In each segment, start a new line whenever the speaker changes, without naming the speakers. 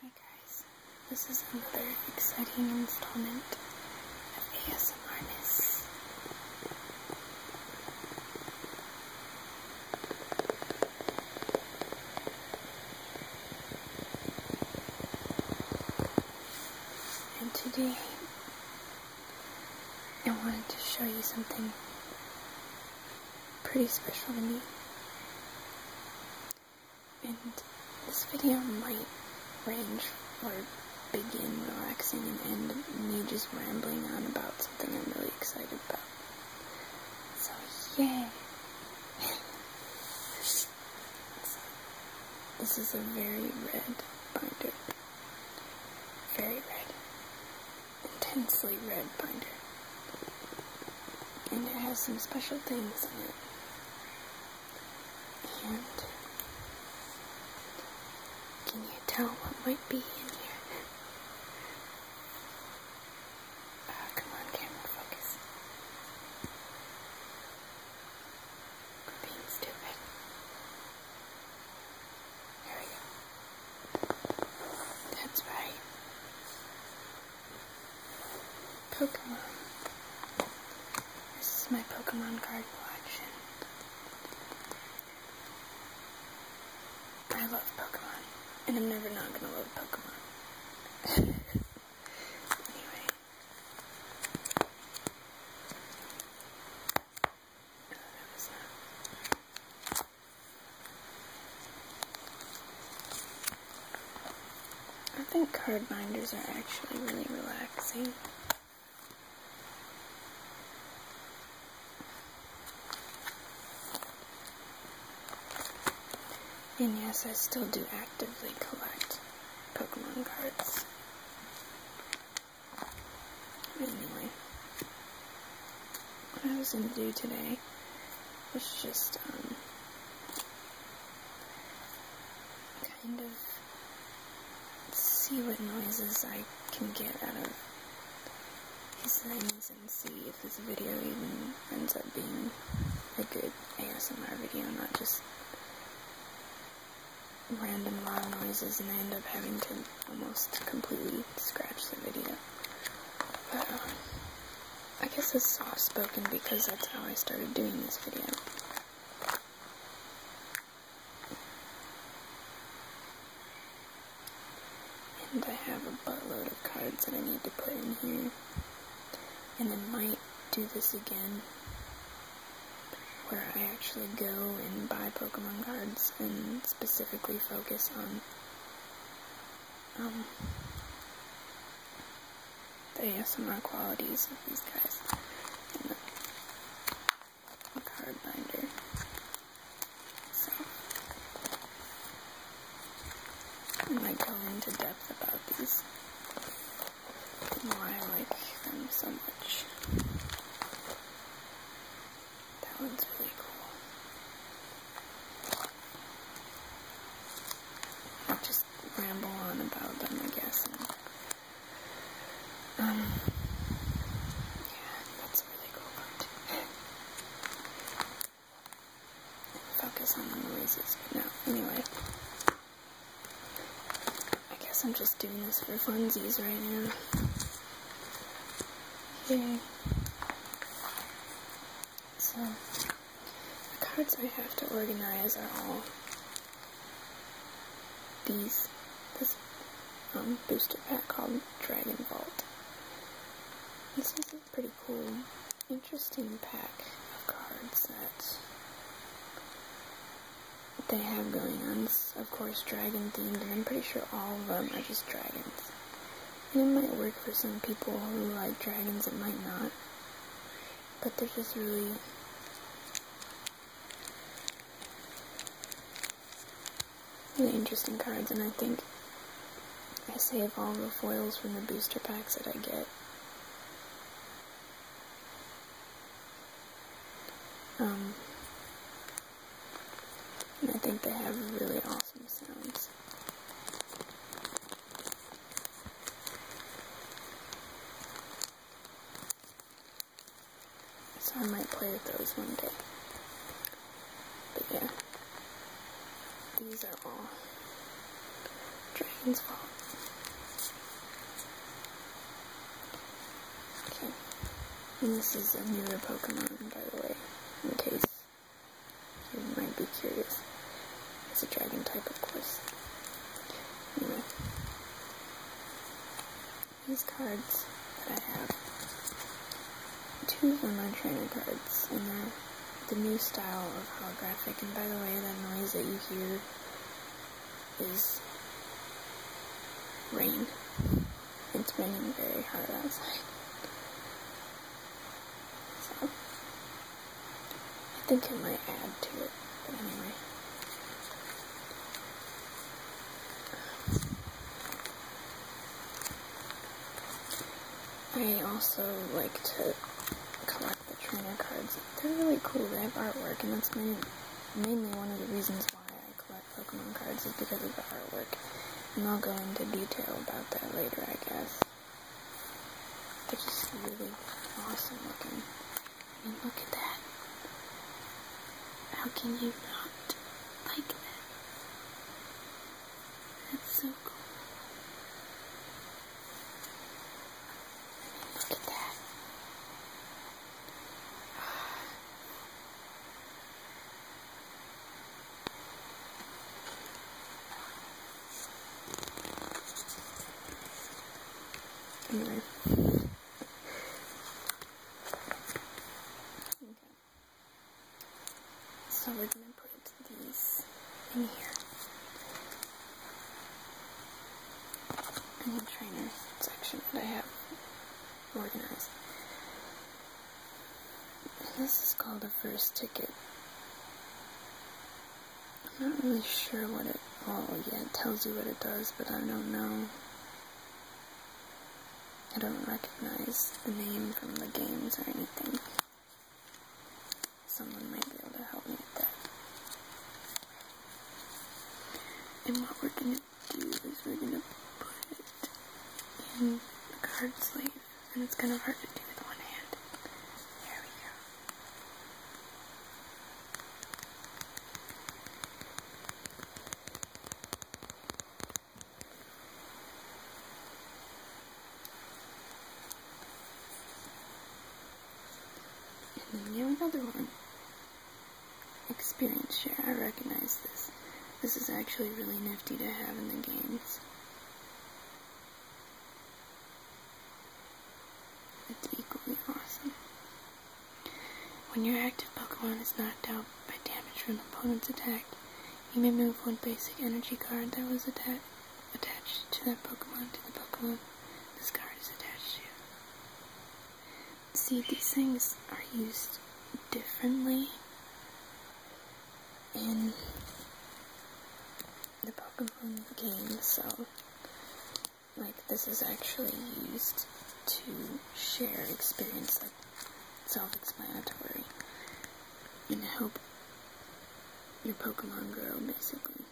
Hi guys, this is another exciting installment of ASMRness. And today, I wanted to show you something pretty special to me. And this video might range or begin relaxing and end me just rambling on about something I'm really excited about. So, yeah, this is a very red binder. Very red intensely red binder. And it has some special things in it. And can you tell what might be in here? Uh, come on, camera, focus. being stupid. There we go. That's right. Pokemon. This is my Pokemon card collection. I love Pokemon. And I'm never not gonna love Pokemon. anyway. Oh, I think card binders are actually really relaxing. And yes, I still do actively collect Pokemon cards. Anyway what I was going to do today was just, um, kind of see what noises I can get out of these things and see if this video even ends up being a good ASMR video, not just random loud noises and I end up having to almost completely scratched the video. But, um, I guess it's soft-spoken because that's how I started doing this video. And I have a buttload of cards that I need to put in here. And then might do this again, where I actually go and buy Pokemon cards and specifically focus on um, the ASMR qualities of these guys in the, card binder. So, I might go into depth about these why I like them so much. That one's really cool. I'll just ramble on about them, I guess. um, yeah, that's a really cool part. Focus on the noises, but no, anyway. I guess I'm just doing this for funsies right now. Yay. So, the cards I have to organize are all these, this um, booster pack called Dragon Vault. This is a pretty cool, interesting pack of cards that they have going on of course, dragon themed, and I'm pretty sure all of them are just dragons. it might work for some people who like dragons, it might not. But they're just really really interesting cards, and I think I save all the foils from the booster packs that I get. Um, and I think they have really awesome sounds. So I might play with those one day. But yeah. These are all Dragon's Vault. Okay. And this is a newer Pokemon, by the way, in case you might be curious. It's a dragon type, of course. Anyway. These cards that I have, two of them are trainer cards, and they're the new style of holographic. And by the way, that noise that you hear is rain. It's raining very hard outside. So, I think it might add to it, anyway. I also like to collect the trainer cards. They're really cool. They have artwork, and that's mainly, mainly one of the reasons why I collect Pokemon cards is because of the artwork. And I'll go into detail about that later, I guess. They're just really awesome looking. I look at that. How can you not like it? That's so cool. look at that. Anyway. Okay. So we're gonna put these in here. And the trainer section that I have organized. And this is called the first ticket. I'm not really sure what it, oh well, yeah, it tells you what it does, but I don't know. I don't recognize the name from the games or anything. Someone might be able to help me with that. And what we're going these is we're going to put it in the card sleeve. And it's kind of hard to do with one hand. There we go. And then we another one experience share. I recognize this. This is actually really nifty to have in the games. It's equally awesome. When your active Pokemon is knocked out by damage from an opponent's attack, you may move one basic energy card that was attached to that Pokemon to the Pokemon this card is attached to see these things are used differently in the Pokemon game, so like this is actually used to share experience like self-explanatory and help your Pokemon grow basically.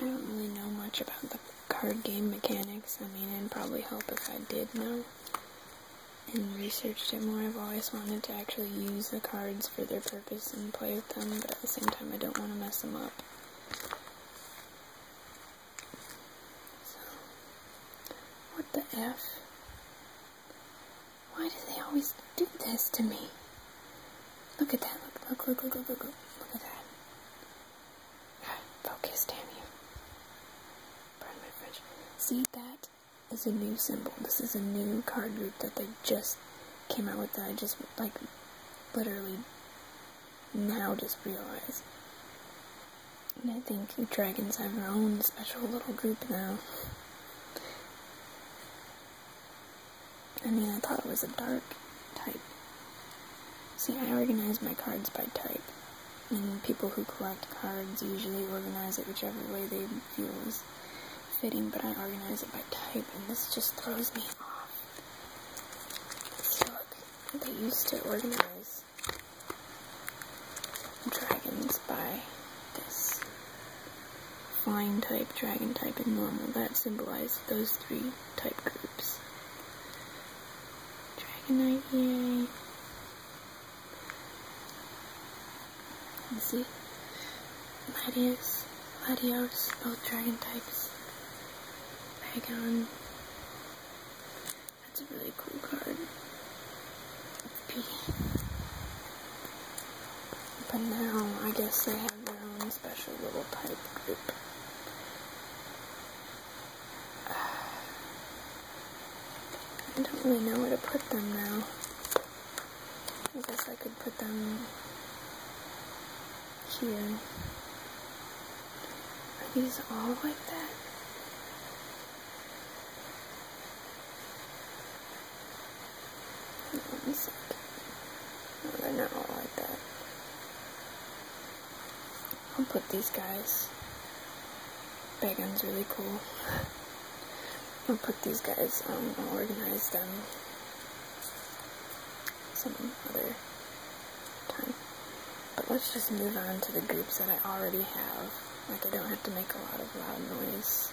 I don't really know much about the card game mechanics. I mean, it'd probably help if I did know and researched it more. I've always wanted to actually use the cards for their purpose and play with them, but at the same time, I don't want to mess them up. So, what the F? Why do they always do this to me? Look at that. Look, look, look, look, look, look. Look at that. God, focus, damn you. Pardon my French. See, that is a new symbol. This is a new card group that they just came out with that I just, like, literally now just realized. And I think dragons have their own special little group now. I mean, I thought it was a dark type. See, I organize my cards by type. And people who collect cards usually organize it whichever way they feel is fitting, but I organize it by type, and this just throws me off. Look, they used to organize dragons by this flying type, dragon type, and normal that symbolizes those three type groups. Dragonite, yay! Let's see. Gladius, Gladios, both dragon types. Pagon. That's a really cool card. But now, I guess they have their own special little type group. I don't really know where to put them now. I guess I could put them here. Are these all like that? One second. No, they're not all like that. I'll put these guys. Begon's really cool. I'll put these guys, um, I'll organize them some other time. But let's just move on to the groups that I already have. Like, I don't have to make a lot of loud noise.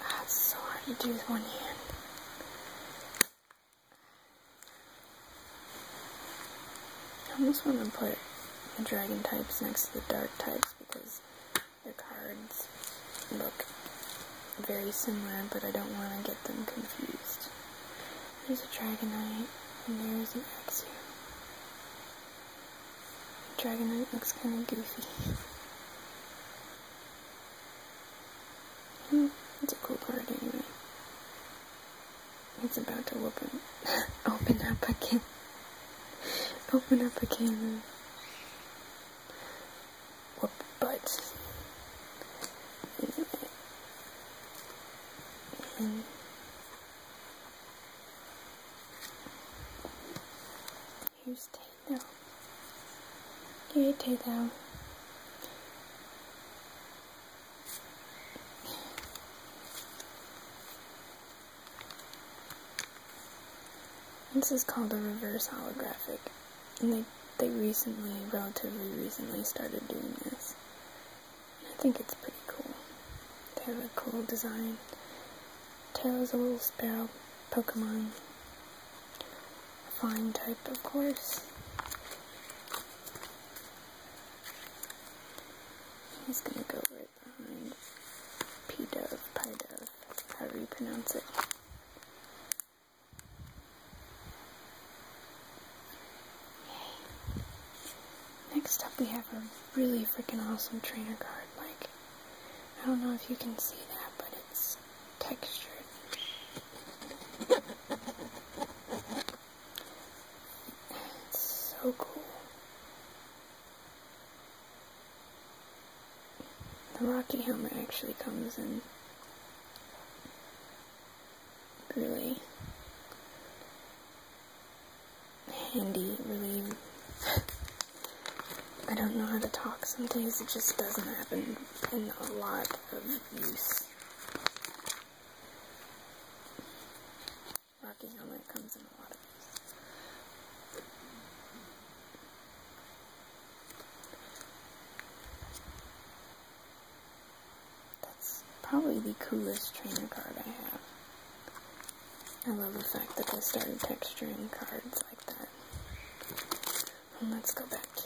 That's so hard to do with one hand. I almost want to put the dragon types next to the dark types because their cards look very similar, but I don't want to get them confused. There's a Dragonite, and there's an Exew. Dragonite looks kind of goofy. Hmm, it's a cool card anyway. It's about to open, open up again. open up again. Whoop butts. Here's Tae down. Here, This is called a reverse holographic, and they, they recently, relatively recently, started doing this. I think it's pretty cool. They have a cool design. Tail is a little sparrow Pokemon. fine type, of course. He's gonna go right behind P-Dove, Pie-Dove, however you pronounce it. Next up we have a really freaking awesome trainer card. Like, I don't know if you can see that, but it's textured. It's so cool. The Rocky helmet actually comes in really handy, really. I don't know how to talk some days, it just doesn't happen And a lot of use. Rocky helmet comes in a lot That's probably the coolest trainer card I have. I love the fact that they started texturing cards like that. let's go back to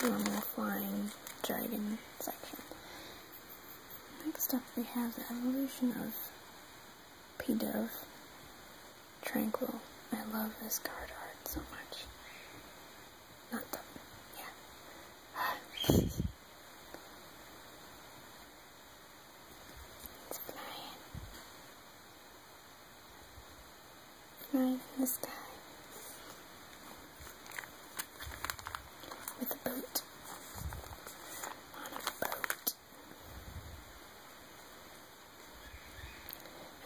the normal flying dragon section. Next up we have the evolution of Pidove Tranquil. I love this card art so much. Not them. Yeah. it's flying. Flying in sky. With a boat. On a boat.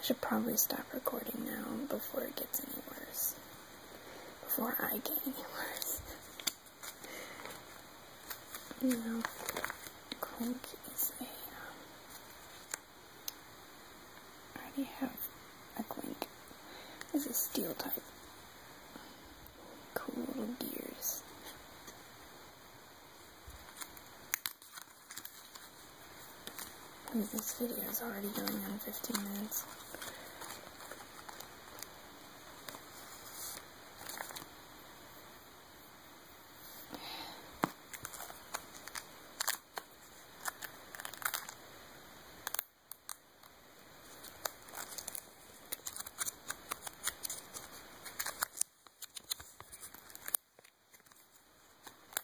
I should probably stop recording now before it gets any worse before I get any worse. you know, Clink is a, um, I already have a Clink. This is steel type. Cool gears this video is already going on 15 minutes.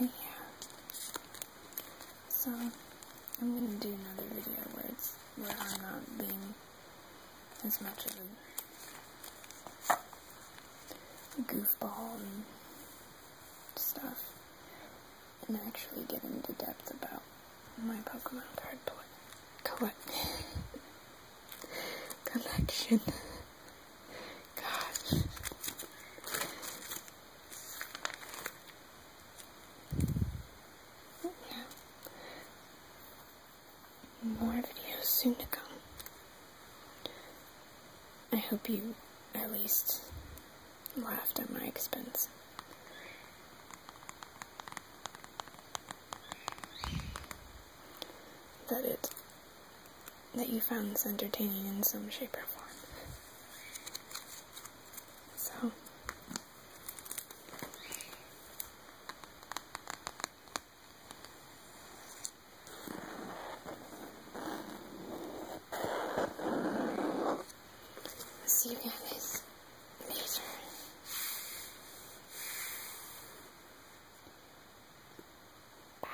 yeah. So I'm gonna do another video where it's where I'm not being as much of a goofball and stuff. And actually get into depth about my Pokemon card collect collection. Gosh. Yeah. More videos soon to come. I hope you at least laughed at my expense. That it, that you found this entertaining in some shape or form. So I'll see you guys later. Bye.